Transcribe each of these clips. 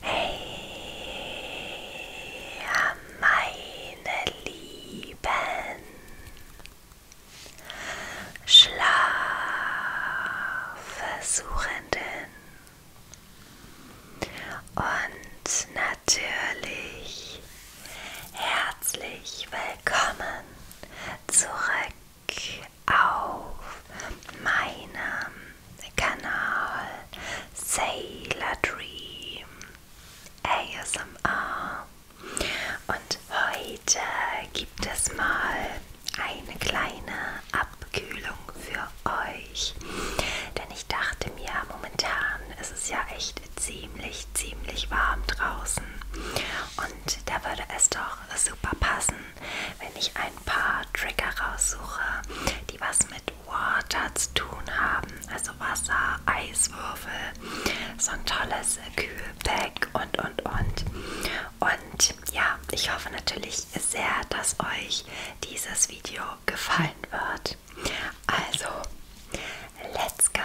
Hey, meine Lieben, Schlafversuchenden und natürlich herzlich willkommen willkommen zurück auf meinem Kanal Sailor Dream ASMR. Und heute gibt es mal eine kleine Abkühlung für euch, denn ich dachte mir, momentan ist es ja echt ziemlich, ziemlich warm draußen. Und da würde es doch super passen, wenn ich ein paar Trigger raussuche, die was mit Water zu tun haben. Also Wasser, Eiswürfel, so ein tolles Kühlpack und, und, und. Und ja, ich hoffe natürlich sehr, dass euch dieses Video gefallen wird. Also, Let's go!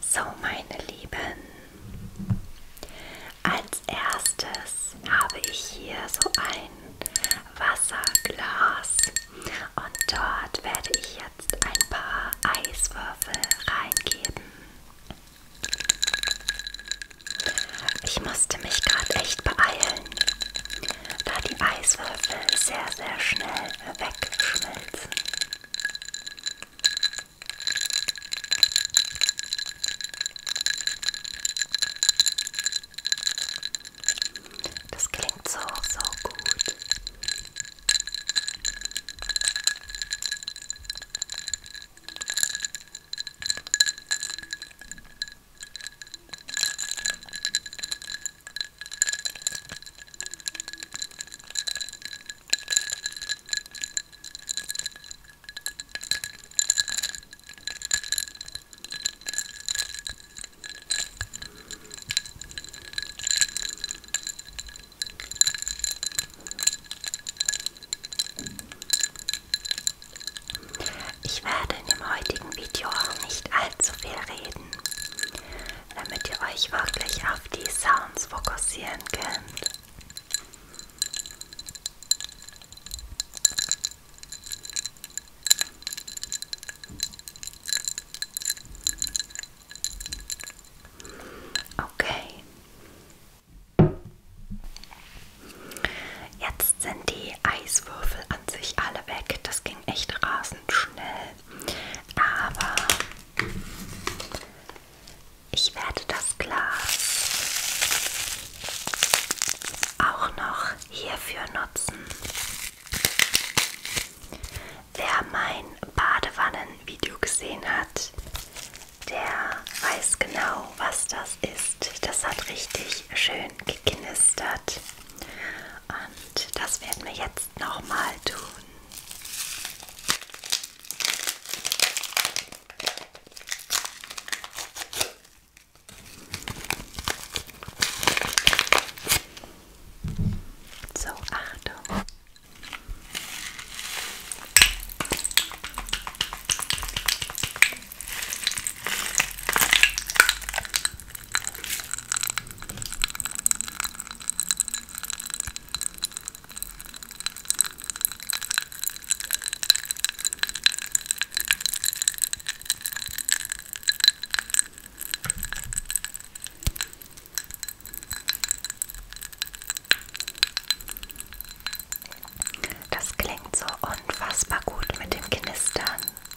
So, meine Lieben, als erstes habe ich hier so ein Wasserglas und dort werde ich jetzt ein paar Eiswürfel reingeben. Ich musste mich gerade echt beeilen, da die Eiswürfel sehr, sehr schnell wegschmelzen. Das klingt so, so gut. Ich werde in dem heutigen Video auch nicht allzu viel reden damit ihr euch wirklich auf die Sounds fokussieren könnt. Okay. Jetzt sind die Eiswürfel an sich alle weg. Das ging echt rasend schnell. Aber ich werde das Glas auch noch hierfür nutzen. Wer mein Badewannenvideo gesehen hat, der weiß genau, was das ist. Das hat richtig schön geknistert. Und das werden wir jetzt jetzt nochmal tun. So, Achtung. Das klingt so unfassbar gut mit dem Knistern.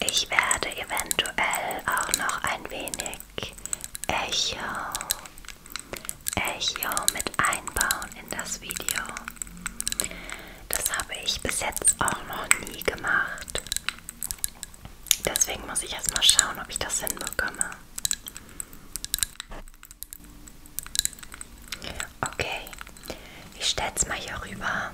Ich werde eventuell auch noch ein wenig Echo, Echo mit einbauen in das Video. Das habe ich bis jetzt auch noch nie gemacht. Deswegen muss ich erstmal schauen, ob ich das hinbekomme. Okay, ich stell's mal hier rüber.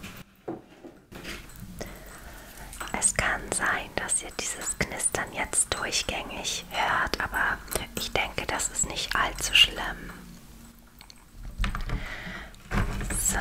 Es kann sein, dass ihr dieses Knistern jetzt durchgängig hört, aber ich denke, das ist nicht allzu schlimm. So.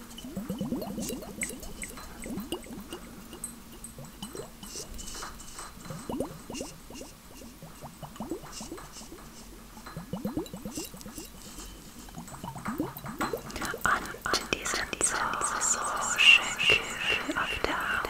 Und die sind so, so schön kühl auf der Haut.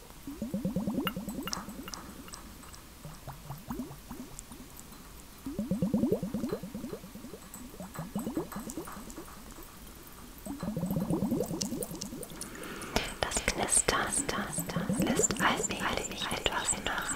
Das Knistern lässt allmählich etwas nach.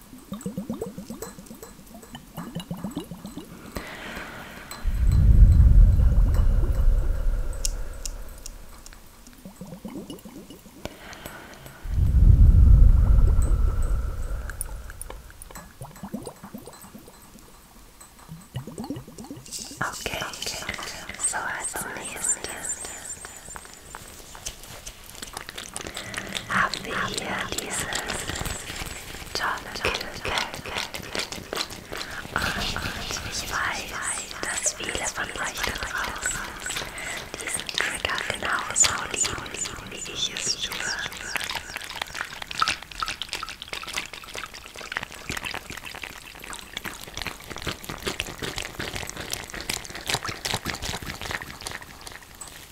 Okay, okay, so I sneezed. haben wir hier dieses tolle Und ich weiß, dass viele von euch da draußen diesen Trigger genauso lieben, wie ich es tue.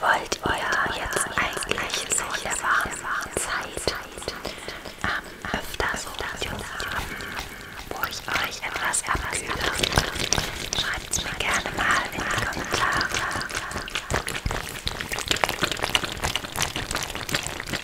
Wollt ihr jetzt eigentlich so der warmen Zeit am ähm, öfter so Videos haben, wo ich euch etwas abkühle? Schreibt es mir gerne mal in die Kommentare.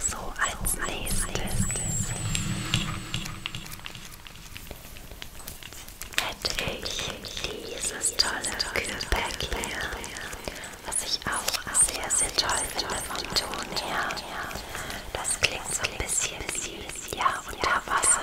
So, als nächstes hätte ich dieses tolle Kühlpack hier, was ich auch sehr, sehr toll finde vom Ton her. Das klingt so ein bisschen wie, ja, unter Wasser.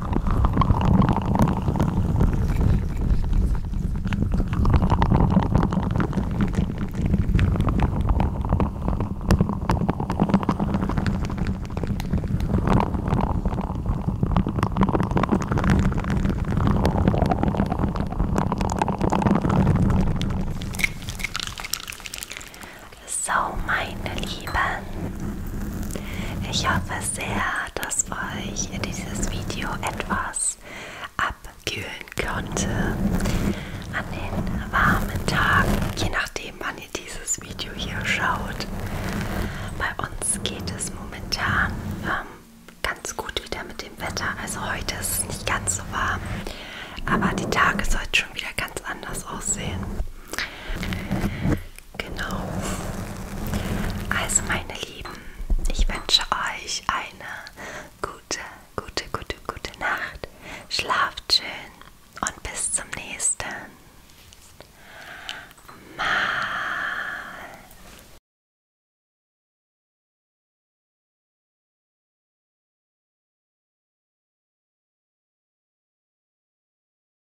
So, meine Lieben, ich hoffe sehr, dass dass euch dieses Video etwas abkühlen konnte an den warmen Tagen, je nachdem wann ihr dieses Video hier schaut. Bei uns geht es momentan ähm, ganz gut wieder mit dem Wetter. Also heute ist es nicht ganz so warm, aber die Tage sollten schon wieder ganz anders aussehen. Genau. Also meine Lieben, ich wünsche euch eine gute, gute, gute, gute Nacht. Schlaft schön und bis zum nächsten Mal.